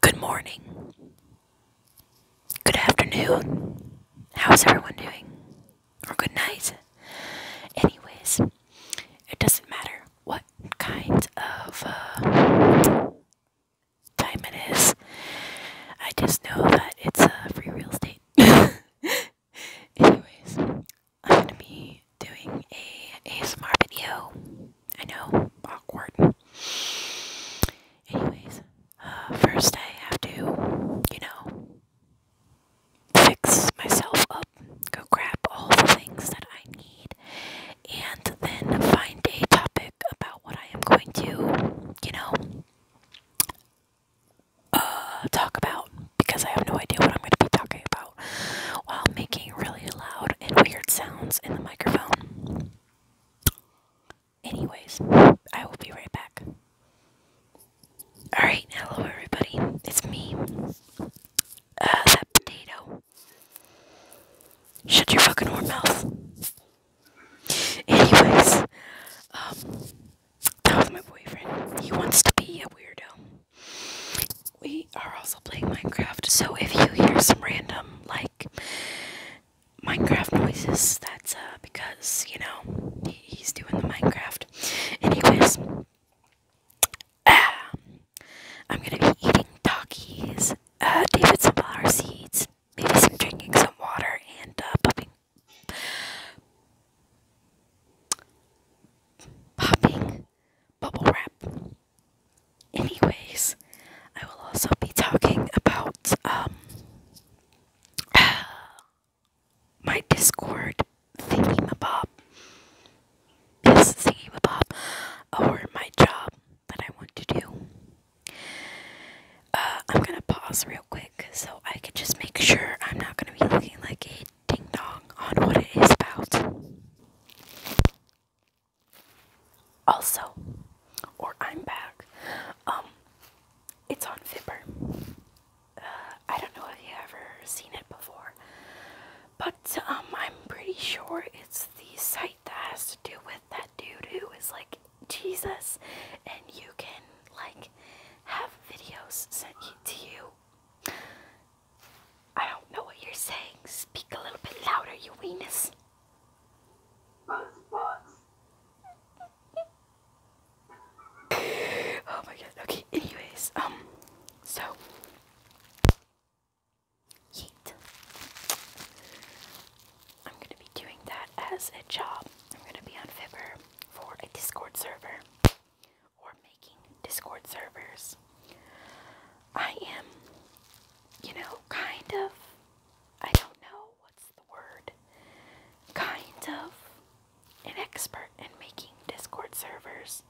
Good morning. Good afternoon. How's everyone doing? Or good night. Anyways, it doesn't matter what kind of uh, time it is. I just know that it's uh, free real estate. Anyways, I'm gonna be doing a ASMR video. I know, awkward. Anyways, uh, first I have to, you know, fix myself up, go grab all the things that I need, and then find a topic about what I am going to, you know, uh, talk about because I have no idea what I'm going to be talking about while making really loud and weird sounds in the microphone. Anyways, I will be right back. Alright, hello everybody. It's me. Uh, that potato. Shut your fucking whore mouth. Anyways, um, that was my boyfriend. He wants to be a weirdo. We are also playing Minecraft, so if you hear some random, like, Minecraft noises. That's uh, because, you know, he's doing the Minecraft. Anyways, um, I'm gonna be eating Takis, uh, David some flower seeds, maybe some drinking some water, and uh, popping. Popping bubble wrap. Anyways, I will also be talking about um my Discord thingamabob, this thingamabob, or my job that I want to do. Uh, I'm gonna pause real quick so I can just make sure I'm not gonna be looking like a ding dong on what it is about. Also, or I'm back. Um, it's on Fibber. Uh, I don't know if you have ever seen it before, but um, I'm pretty sure it's the site that has to do with that dude who is like Jesus, and you can like have videos sent to you. I don't know what you're saying. Speak a little bit louder, you weenus oh my god. Okay, anyways, um, so. Yeet. I'm going to be doing that as a job. I'm going to be on Fiverr for a Discord server or making Discord servers. I am you know, kind of, I don't know what's the word, kind of an expert in making Discord servers,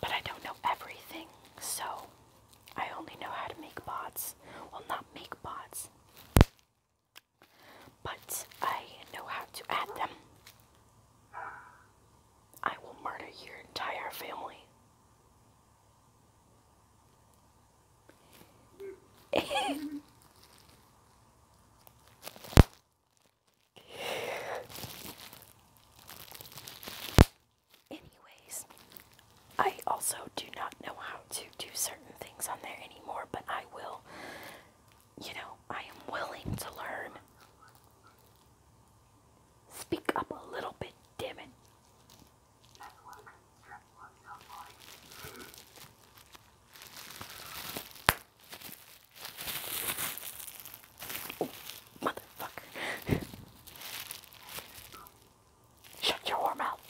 but I don't know everything, so I only know how to make bots. Well, not make bots, but I know how to add them. I will murder your entire family. Anyways, I also do not know how to do certain things on there anymore, but I will, you know, I am willing to learn. Speak up a little bit, damn motherfucker. Shut your warm mouth.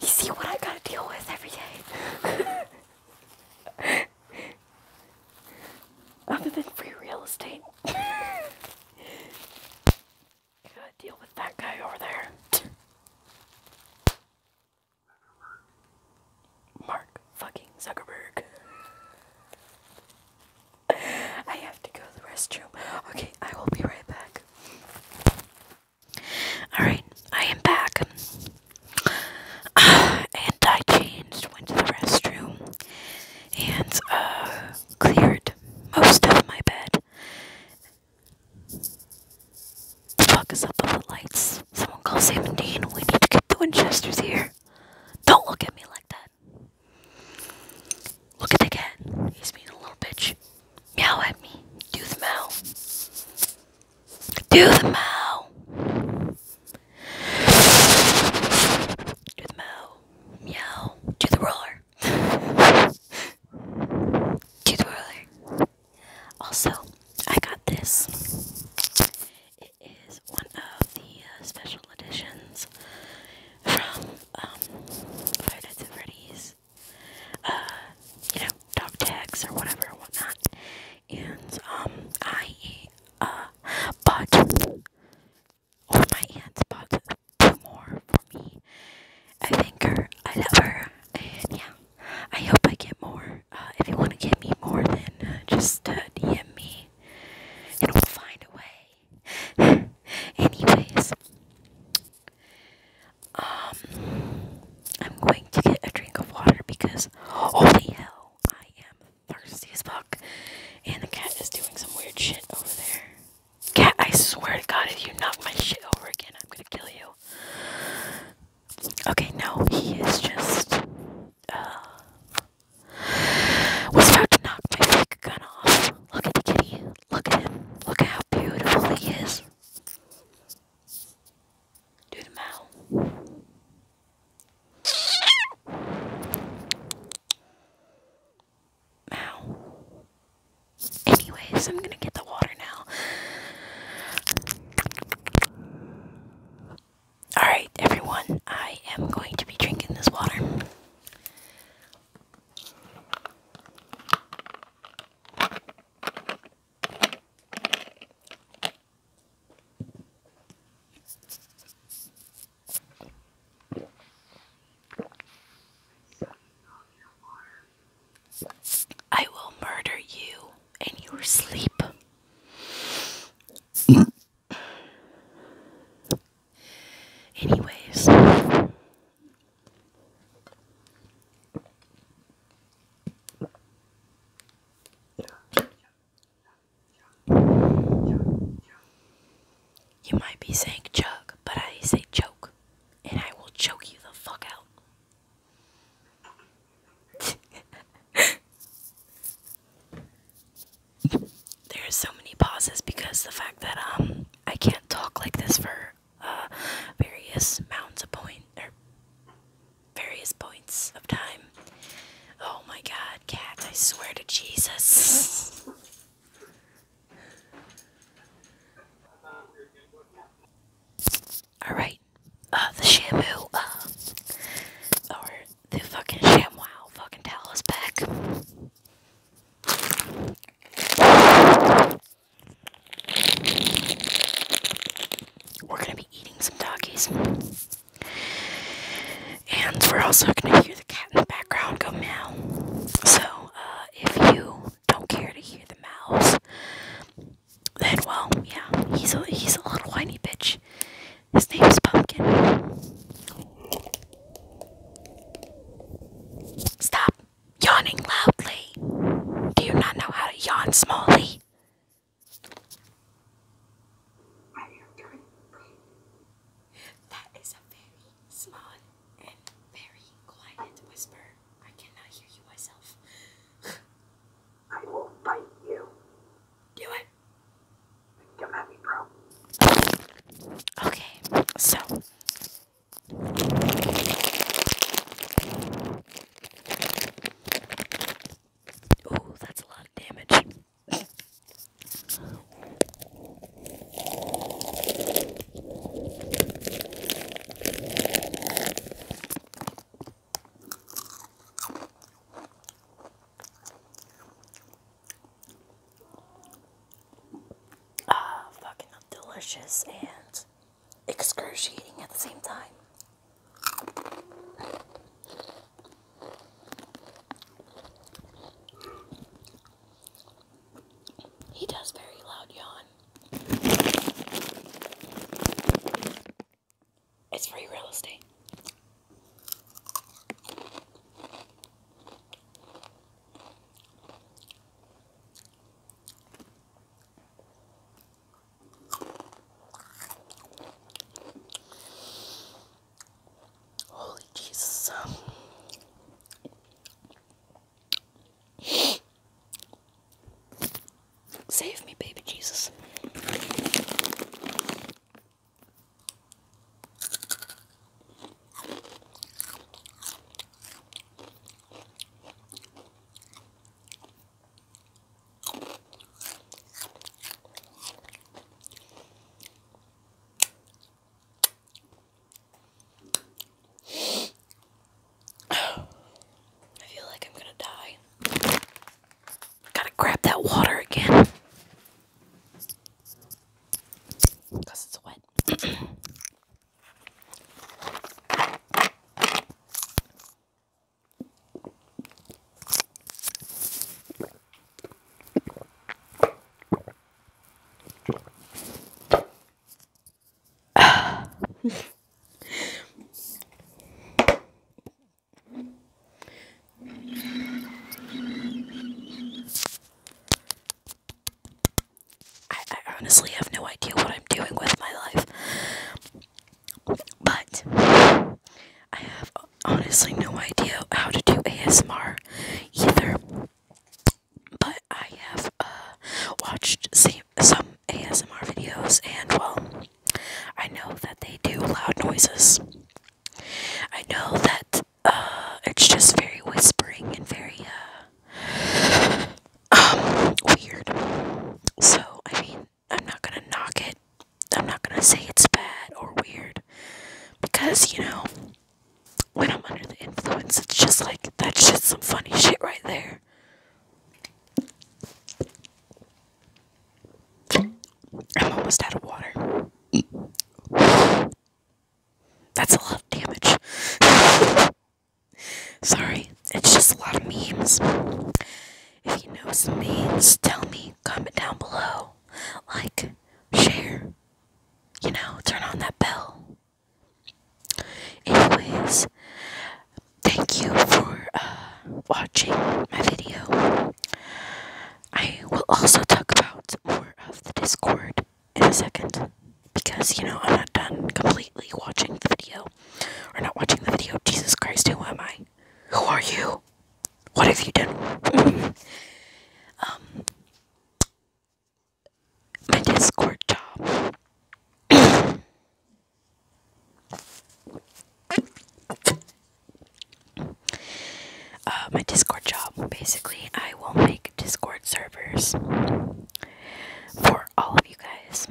You see what I gotta deal with every day. Other than free real estate. Gotta deal with that guy over there. Mark fucking Zuckerberg. I have to go to the restroom. Okay, I will be right back. Alright, I am back. and I changed, went to the restroom, and uh, cleared most of my bed. The fuck is up with the lights? Someone call 17. We need to get the Winchesters here. Don't look at me like that. Look at the cat. He's being a little bitch. Meow at me. Do the meow. Do the meow. Do the meow. Meow. Do the roller. Do the roller. Also, I got this. It is one of the uh, special editions from um, Five Nights at Uh, you know, dog tags or whatever, whatnot and um I uh bought or my aunt bought two more for me. I thank her. I love her. And yeah, I hope I get more. Uh, if you want to get me more, then uh, just uh, DM me. And will find a way. Anyways, um, I'm going to get a drink of water because holy hell, I am thirsty as fuck. And the cat is doing some weird shit over there. Cat, I swear to god, if you knock my shit over again, I'm gonna kill you. Okay, no, he is just uh, was about to knock my fake gun off. Look at the kitty. Look at him. Look how beautiful he is. Do the mouth. Ow. Anyways, I'm gonna get the water now. Alright, everyone, I am going to be drinking this water. I will murder you in your sleep. Anyways. You might be saying chug, but I say choke, and I will choke you the fuck out. there are so many pauses because the fact that um I can't talk like this for uh, various amounts of points various points of time. Oh my god, cat, I swear to Jesus. Alright, uh, the shamu, uh, or the fucking ShamWow fucking towel back. We're gonna be eating some doggies. And we're also going to hear the cat in the background go meow. So, uh, if you don't care to hear the mouse, then, well, yeah, he's a, he's a little whiny bitch. His name is Pumpkin. Stop yawning loudly. Do you not know how to yawn smallly? That is a very small and very quiet whisper. I cannot hear you myself. I will fight you. Do it. Come at me, bro. Okay, so. Ooh, that's a lot of damage. Ah, fucking delicious and excruciating at the same time. He does very loud yawn. It's free real estate. Holy Jesus. Save me, baby Jesus. I feel like I'm gonna die. Gotta grab that water again. Because it's wet. I, honestly have no idea what I'm doing with my life. But I have honestly no idea how to do ASMR either. But I have uh, watched some, ASMR videos, and well, I know that they do loud noises. I know that uh, it's just very whispering and very uh, um, weird. So, I mean, I'm not gonna knock it. I'm not gonna say it's bad or weird. Because, you know, when I'm under the influence, it's just like, that's just some funny shit right there. I'm almost out of water. That's a lot of damage. Sorry, it's just a lot of memes. If you know some means, tell me. Comment down below. Like, share. You know, turn on that bell. Anyways, thank you for uh, watching my video. I will also talk about more of the Discord in a second because, you know, I'm not done completely watching the video. Or not watching the video. Jesus Christ, who am I? Who are you? What have you done? um, my Discord job. uh, my Discord job. Basically, I will make Discord servers for all of you guys.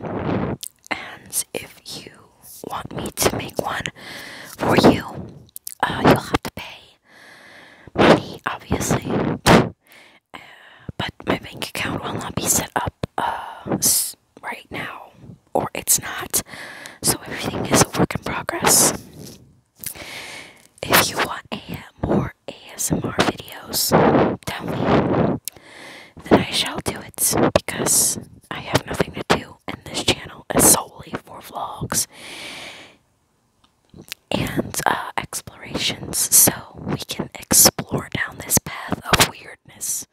And if you want me to make one for you, uh, you'll have to pay money, obviously. Uh, but my bank account will not be set up uh, right now, or it's not. So everything is a work in progress. If you want a, more ASMR videos, tell me. Then I shall do it because I have nothing to do and this channel is solely for vlogs and uh, explorations, so we can explore down this path of weirdness.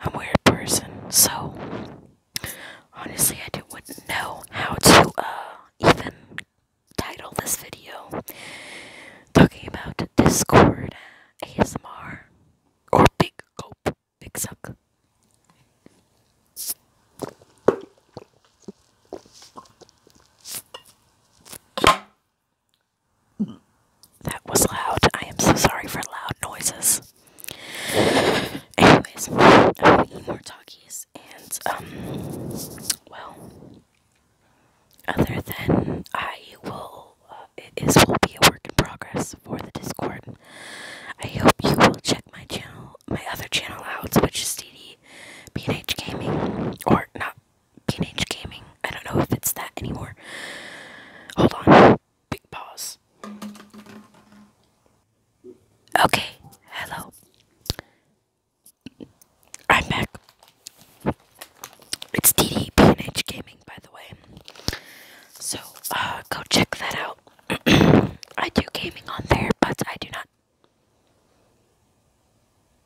I'm a weird person, so honestly, I do, wouldn't know how to uh, even title this video talking about Discord, ASMR, or Big Cope. That was loud. I am so sorry for loud noises. Anyways, I will eat more talkies and, um, well, other than I will, uh, it will be a work in progress for the Discord. I hope you will check my channel, my other channel out, which is DD PNH Gaming, or not PNH Gaming. I don't know if it's that anymore. Hold on, big pause. Okay, hello. I'm back. It's DD PNH Gaming, by the way. So, uh, go check that out. I do gaming on there, but I do not.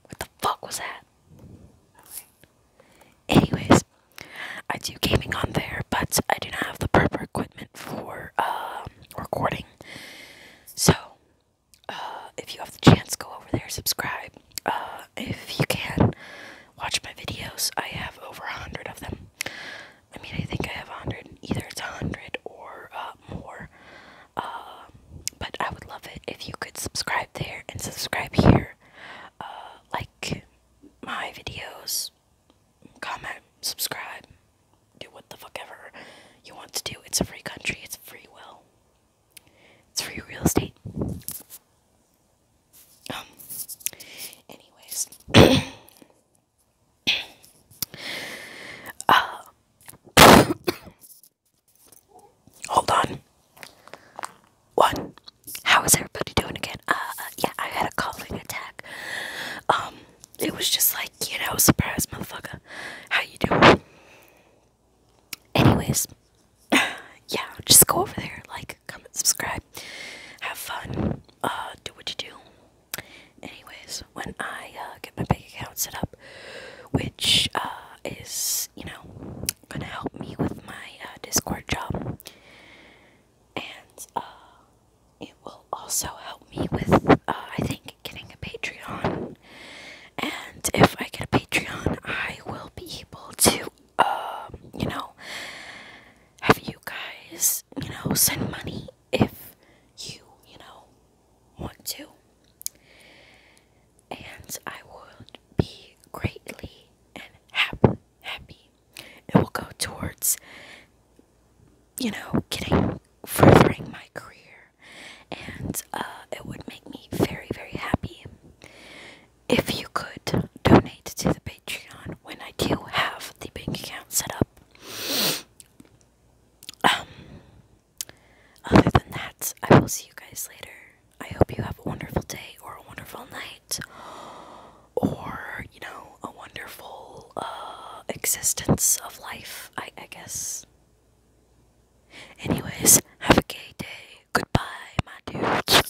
What the fuck was that? Anyways, I do gaming on there, but I do not have the proper equipment for um, recording. So, uh, if you have the chance, go over there, subscribe. Uh, if you can, watch my videos. I have over a hundred of them. I mean, I think I have 100. Either it's a 100 or uh, more. Uh, but I would love it if you could subscribe there and subscribe here. Uh, like my videos, comment, subscribe, do what the fuck ever you want to do. It's a free country, it's free will, it's free real estate. Um, anyways. Uh, hold on. One. How is everybody doing again? Uh, yeah, I had a coughing attack. Um, it was just like, you know, surprise, motherfucker. How you doing? Anyways, yeah, just go over there, like, comment, subscribe, have fun uh, do what you do. Anyways, when I uh, get my bank account set up, which uh, is, you know, gonna help me with my uh, Discord job, and uh, it will also help me with, uh, I think, getting a Patreon. And if I get a Patreon, I will be able to, um, you know, have you guys, you know, send money if you, you know, want to. And I would be greatly and happy happy. It will go towards you know, getting furthering my career and uh, it would make me very, very happy if you could donate to the Patreon when I do have the bank account Set up. Um, other than that, I will see you guys later. I hope you have a wonderful day or a wonderful night or, you know, a wonderful uh, existence of life, I guess. Anyways, have a gay day. Goodbye, my dudes.